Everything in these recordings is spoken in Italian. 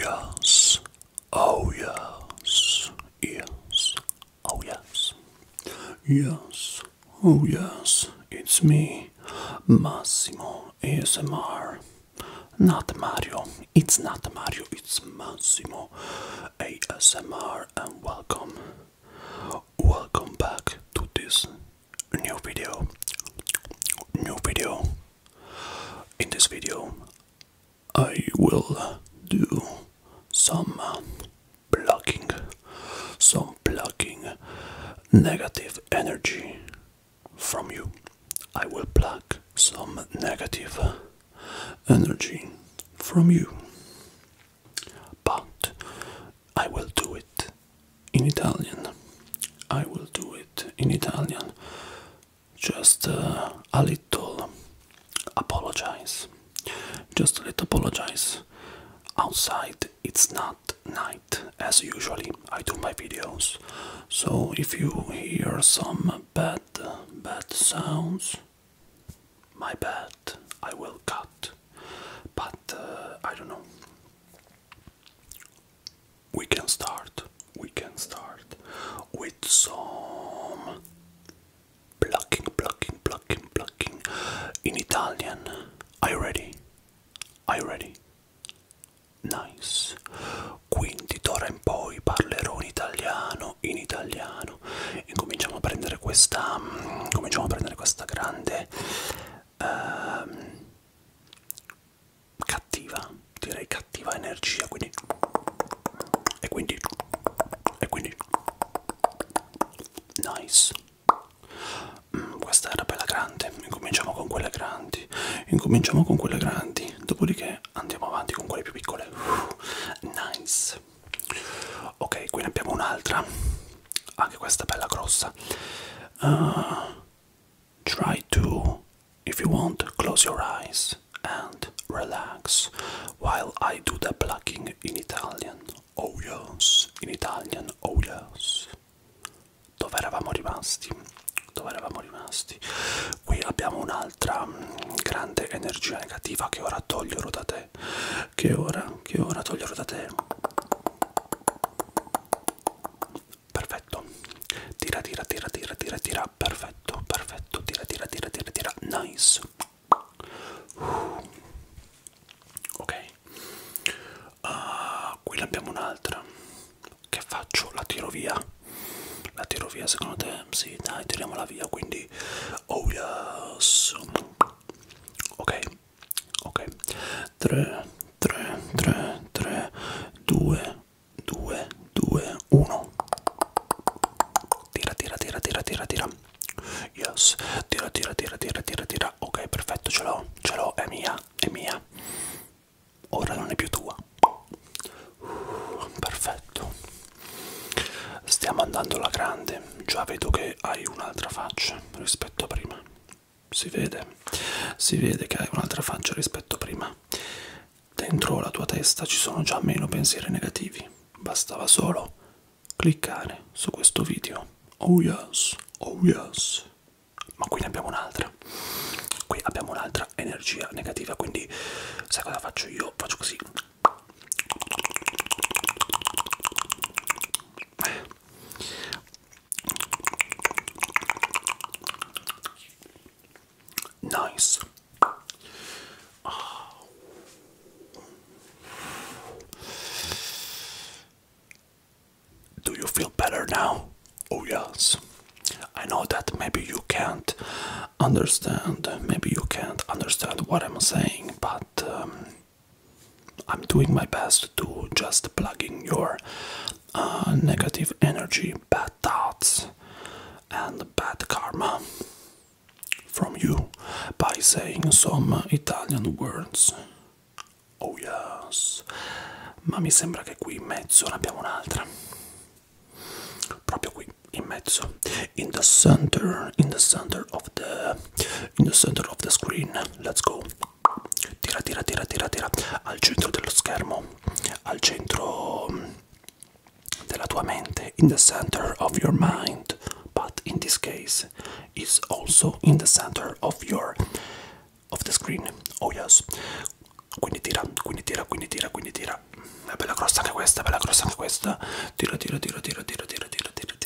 Yes, oh yes, yes, oh yes, yes, oh yes, it's me, Massimo ASMR. Not Mario, it's not Mario, it's Massimo ASMR, and welcome, welcome back to this new video new video in this video I will do some blocking some blocking negative energy from you I will pluck some negative energy from you but I will do it in Italian. I will do it in Italian. Just uh, a little apologize. Just a little apologize. Outside it's not night as usually I do my videos. So if you hear some bad bad sounds, my bad, I will cut. But uh, I don't know. we can start, we can start with some plucking, plucking, plucking, plucking in Italian. Are you ready? Are you ready? Nice. Quindi d'ora in poi parlerò in italiano, in italiano. E cominciamo a prendere questa, mm, cominciamo a prendere questa grande. Um, cattiva, direi cattiva energia, quindi e quindi e quindi nice. Mm, questa era bella grande, incominciamo con quelle grandi, incominciamo con quelle grandi, dopodiché andiamo avanti con quelle più piccole. Uh, nice. Ok, qui ne abbiamo un'altra, anche questa bella grossa. Uh, Try to, if you want, close your eyes and relax while I do the plucking in Italian. Oh yes, in Italian, oh yes. Dove eravamo rimasti? Dove eravamo rimasti? Qui abbiamo un'altra mm, grande energia negativa che ora toglierò da te. Che ora, che ora toglierò da te perfetto tira tira tira tira tira tira perfetto perfetto tira tira tira tira tira nice uh. ok uh, qui ne abbiamo un'altra che faccio la tiro via la tiro via secondo te sì dai tiriamola via quindi oh yes ok ok 3 3 3 3 2 2 2 1 tira tira tira tira tira tira yes tira tira tira tira tira tira ok perfetto ce l'ho ce l'ho è mia è mia ora non è più tua uh, perfetto stiamo andando alla grande già vedo che hai un'altra faccia rispetto a prima si vede, si vede che hai un'altra faccia rispetto a prima. Dentro la tua testa ci sono già meno pensieri negativi, bastava solo cliccare su questo video. Oh yes, oh yes. Ma qui ne abbiamo un'altra. Qui abbiamo un'altra energia negativa, quindi sai cosa faccio io? Faccio così. Nice. Do you feel better now? Oh, yes. I know that maybe you can't understand, maybe you can't understand what I'm saying, but um, I'm doing my best to just plug in your uh, negative energy, bad thoughts, and bad karma from you by saying some Italian words. Oh yes, ma mi sembra che qui in mezzo ne abbiamo un'altra. Proprio qui in mezzo, in the center, in the center of the, in the center of the screen. Let's go. tira tira tira tira tira al centro dello schermo al centro mm, della tua mente in the center of your mind but in this case is also in the center of your of the screen oh yes quindi tira quindi tira quindi tira quindi tira è bella grossa anche questa bella grossa anche questa tira tira tira tira tira tira tira tira, tira.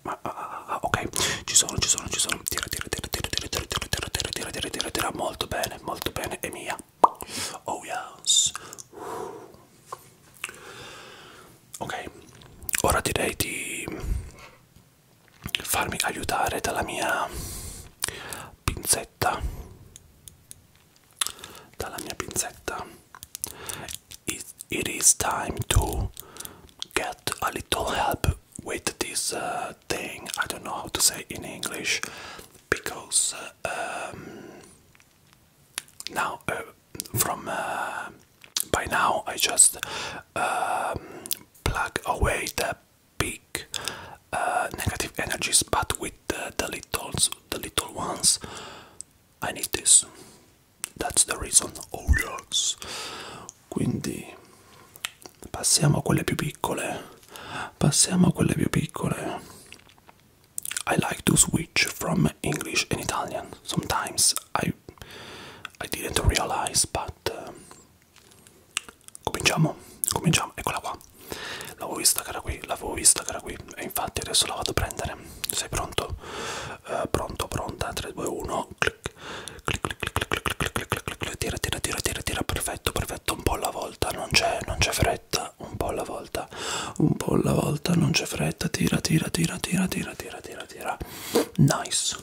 Ah, ah, ah, ah, ok ci sono ci sono ci sono tira tira tira, tira, tira, tira, tira, tira, tira, tira, tira, tira, tira, molto bene, molto bene, e mia. Oh yes. Ok, ora direi di farmi aiutare dalla mia pinzetta. Dalla mia pinzetta. It, it is time to get a little help with this uh, thing. I don't know how to say in English because uh, um, now uh, from by now I just um, plug away the big negative energies, but with the, the little the little ones. I need this. That's the reason. Oh yes. quindi passiamo a quelle più piccole passiamo a quelle più piccole I like to switch from English and Italian sometimes I, I didn't realize but uh, cominciamo cominciamo eccola qua l'avevo vista che era qui l'avevo vista che era qui e infatti adesso la vado a prendere sei pronto uh, pronto pronta 3 2 1 clic clic clic clic clic clic clic clic clic clic tira tira tira tira tira perfetto perfetto un po' alla volta non c'è non c'è fretta un po' alla volta un po' alla volta non c'è fretta tira tira tira tira tira tira tira tira nice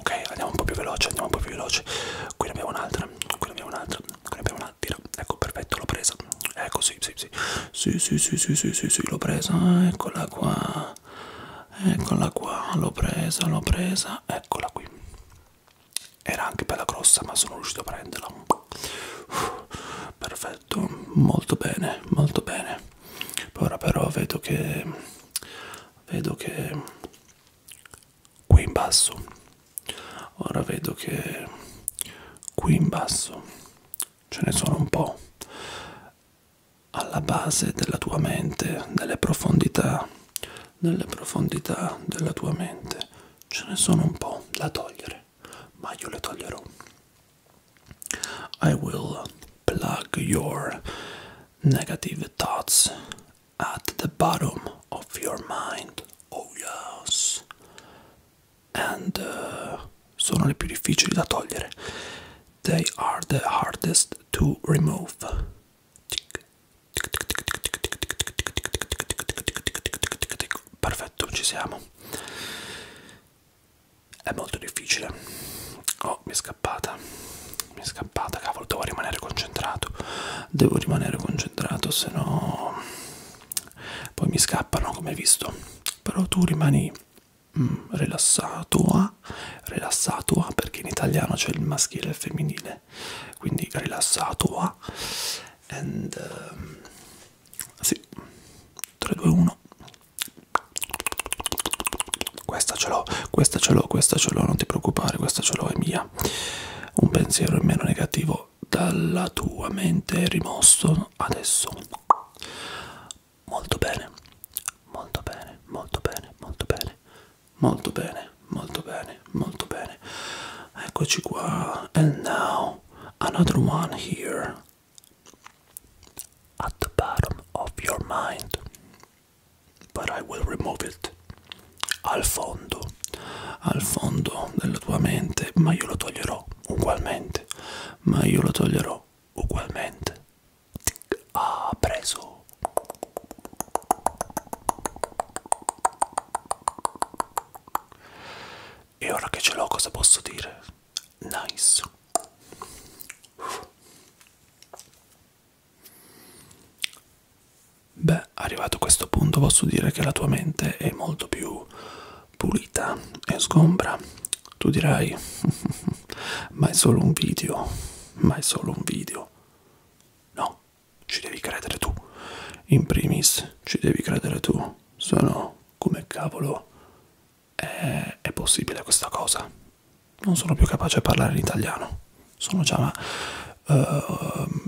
ok andiamo un po' più veloce andiamo un po' più veloce qui ne abbiamo un'altra qui ne abbiamo un'altra qui ne abbiamo un'altra tira ecco perfetto l'ho presa ecco sì sì sì sì sì sì sì sì sì, sì l'ho presa eccola qua eccola qua l'ho presa l'ho presa eccola qui era anche bella grossa ma sono riuscito a prenderla Uff, perfetto molto bene molto bene ora però vedo che vedo che qui in basso ora vedo che qui in basso ce ne sono un po' alla base della tua mente, nelle profondità, nelle profondità della tua mente. Ce ne sono un po' da togliere, ma io le toglierò. I will plug your negative thoughts at the bottom of your mind. Oh yes. And uh, sono le più difficili da togliere. They are the hardest to remove. Perfetto, ci siamo. È molto difficile. Oh, mi è scappata. Mi è scappata, cavolo, devo rimanere concentrato. Devo rimanere concentrato, se no poi mi scappano, come hai visto. Però tu rimani mm, rilassato, rilassato, perché in italiano c'è il maschile e il femminile, quindi rilassato, and um, sì, 3, 2, 1, questa ce l'ho, questa ce l'ho, questa ce l'ho, non ti preoccupare, questa ce l'ho, è mia, un pensiero in meno negativo dalla tua mente è rimosso adesso molto bene, molto bene, molto bene, molto bene, molto bene, molto bene, molto bene. Eccoci qua. And now another one here at the bottom of your mind. But I will remove it. Al fondo, al fondo della tua mente, ma io lo toglierò ugualmente. Ma io lo toglierò ugualmente. Ah, preso. E ora che ce l'ho cosa posso dire? Nice. Beh, arrivato a questo punto posso dire che la tua mente è molto più pulita e sgombra tu dirai, ma è solo un video, ma è solo un video. No, ci devi credere tu. In primis, ci devi credere tu. Se no, come cavolo è, è possibile questa cosa? Non sono più capace a parlare in italiano. Sono già, uh,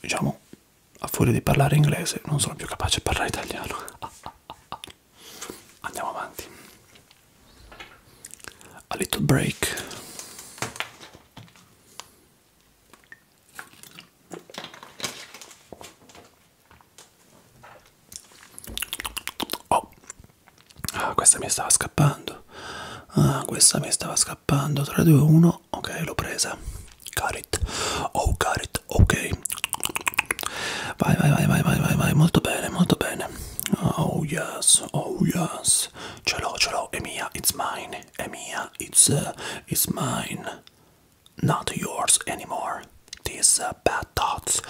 diciamo, a fuori di parlare inglese, non sono più capace a parlare italiano. andiamo avanti a little break oh ah, questa mi stava scappando ah, questa mi stava scappando 3 2 1 ok l'ho presa carit oh carit ok vai vai vai vai vai vai vai molto bene molto bene Oh yes, oh yes. Cello, cello, Emilia, it's mine. Emilia, it's uh, it's mine. Not yours anymore. These uh, bad thoughts.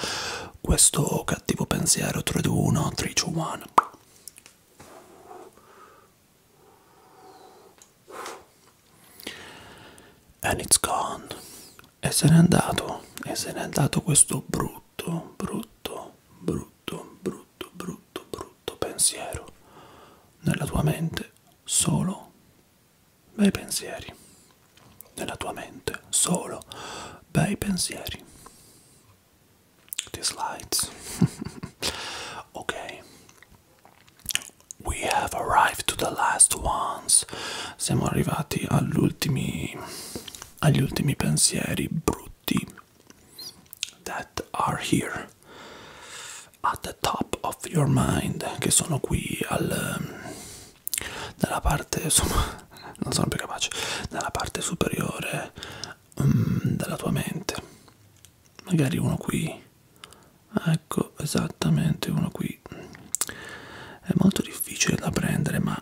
Questo cattivo pensiero 3 2 1 3 2 1. And it's gone. e se n'è andato e se n'è andato questo brutto brutto brutto brutto brutto brutto pensiero nella tua mente solo bei pensieri nella tua mente solo bei pensieri these lights ok we have arrived to the last ones siamo arrivati all'ultimi agli ultimi pensieri brutti that are here at the top of your mind che sono qui al nella parte insomma non sono più capace nella parte superiore um, della tua mente magari uno qui ecco esattamente uno qui è molto difficile da prendere ma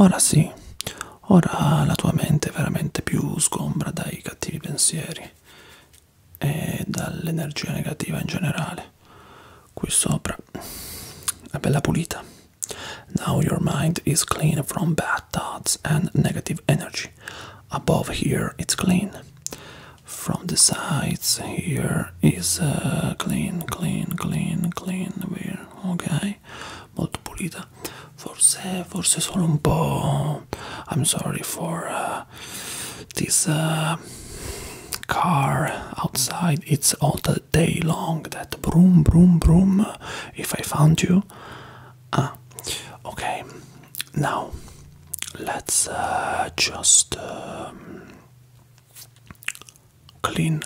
Ora sì, ora la tua mente è veramente più sgombra dai cattivi pensieri e dall'energia negativa in generale. Qui sopra è bella pulita. Now your mind is clean from bad thoughts and negative energy. Above here it's clean. From the sides here is uh, clean, clean, clean, clean. Where? Ok, molto pulita. forse, forse sono un po' I'm sorry for uh, this uh, car outside it's all the day long that broom broom broom if I found you ah okay now let's uh, just um, clean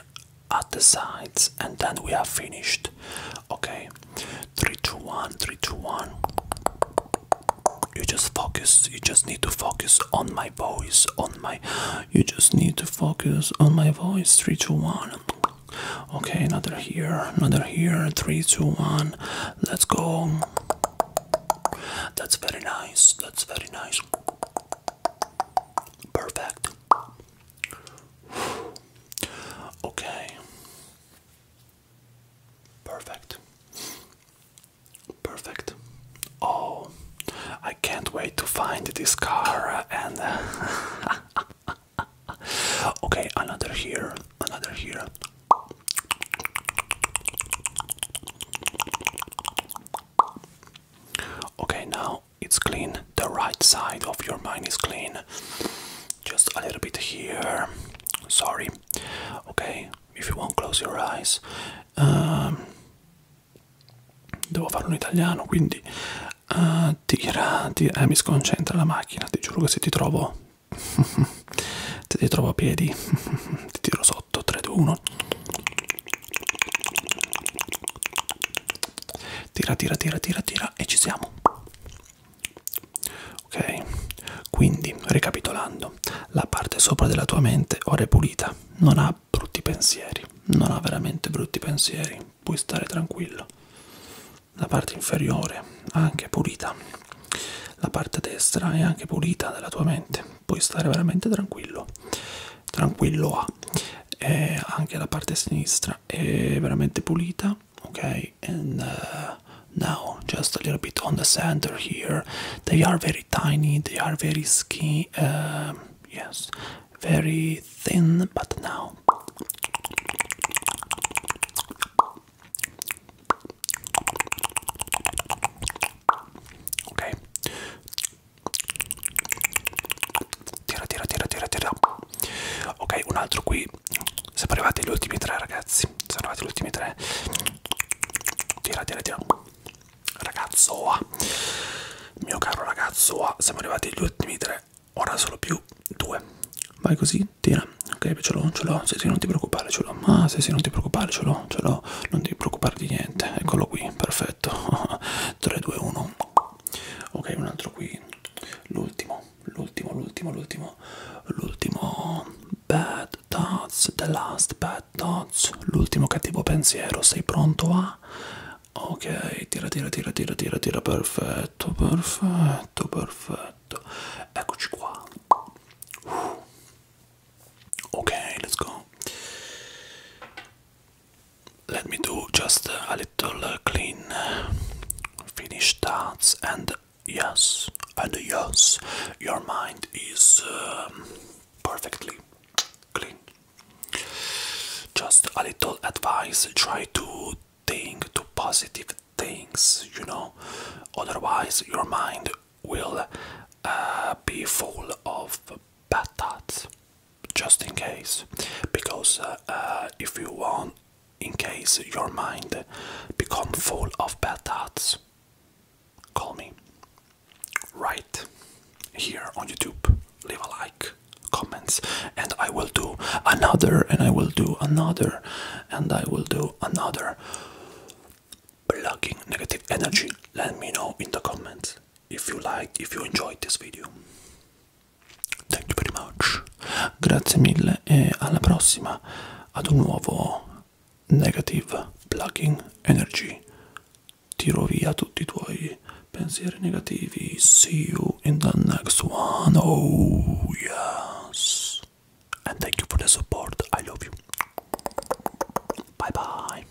at the sides and then we are finished okay Three, two, one. Three, two, one. You just focus. You just need to focus on my voice. On my. You just need to focus on my voice. Three, two, one. Okay, another here, another here. Three, two, one. Let's go. That's very nice. That's very nice. Perfect. Okay. Perfect. Perfect. Oh, I can't wait to find this car and. okay, another here, another here. Okay, now it's clean, the right side of your mind is clean. Just a little bit here. Sorry. Ok, if you won't close your eyes. Um, devo farlo in italiano, quindi uh, tira, tira eh, mi sconcentra la macchina, ti giuro che se ti trovo se ti trovo a piedi ti tiro sotto 3 2 1 tira tira tira tira tira eccetera e ci siamo ok quindi ricapitolando la parte sopra della tua mente ora è pulita non ha brutti pensieri non ha veramente brutti pensieri puoi stare tranquillo la parte inferiore anche pulita la parte destra è anche pulita della tua mente puoi stare veramente tranquillo tranquillo a e anche la parte sinistra area veramente pulita okay and uh, now just a little bit on the center here they are very tiny they are very skinny um, yes very thin but now okay tira tira tira tira tira ok un altro qui siamo arrivati agli ultimi tre ragazzi siamo arrivati agli ultimi tre tira tira tira ragazzo ah. mio caro ragazzo ah. siamo arrivati agli ultimi tre ora solo più due vai così tira ok ce l'ho ce l'ho se sì, non ti preoccupare ce l'ho ma ah, se sì, non ti preoccupare ce l'ho ce l'ho non ti preoccupare di niente eccolo qui perfetto 3 2 1 ok un altro qui l'ultimo l'ultimo l'ultimo l'ultimo l'ultimo bad thoughts the last bad thoughts l'ultimo cattivo pensiero sei pronto a ok tira tira tira tira tira tira perfetto perfetto perfetto eccoci qua ok let's go let me do just a little uh, clean uh, finish thoughts and yes and yes your mind is um, perfectly clean just a little advice try to think to positive things you know otherwise your mind will uh, be full of bad thoughts just in case because uh, uh, if you want in case your mind become full of bad thoughts call me right here on youtube leave a like comments and i will do another and i will do another and i will do another blocking negative energy let me know in the comments if you liked if you enjoyed this video Thank you very much. Grazie mille e alla prossima ad un nuovo negative plugging energy. Tiro via tutti i tuoi pensieri negativi. See you in the next one. Oh yes. And thank you for the support. I love you. Bye bye.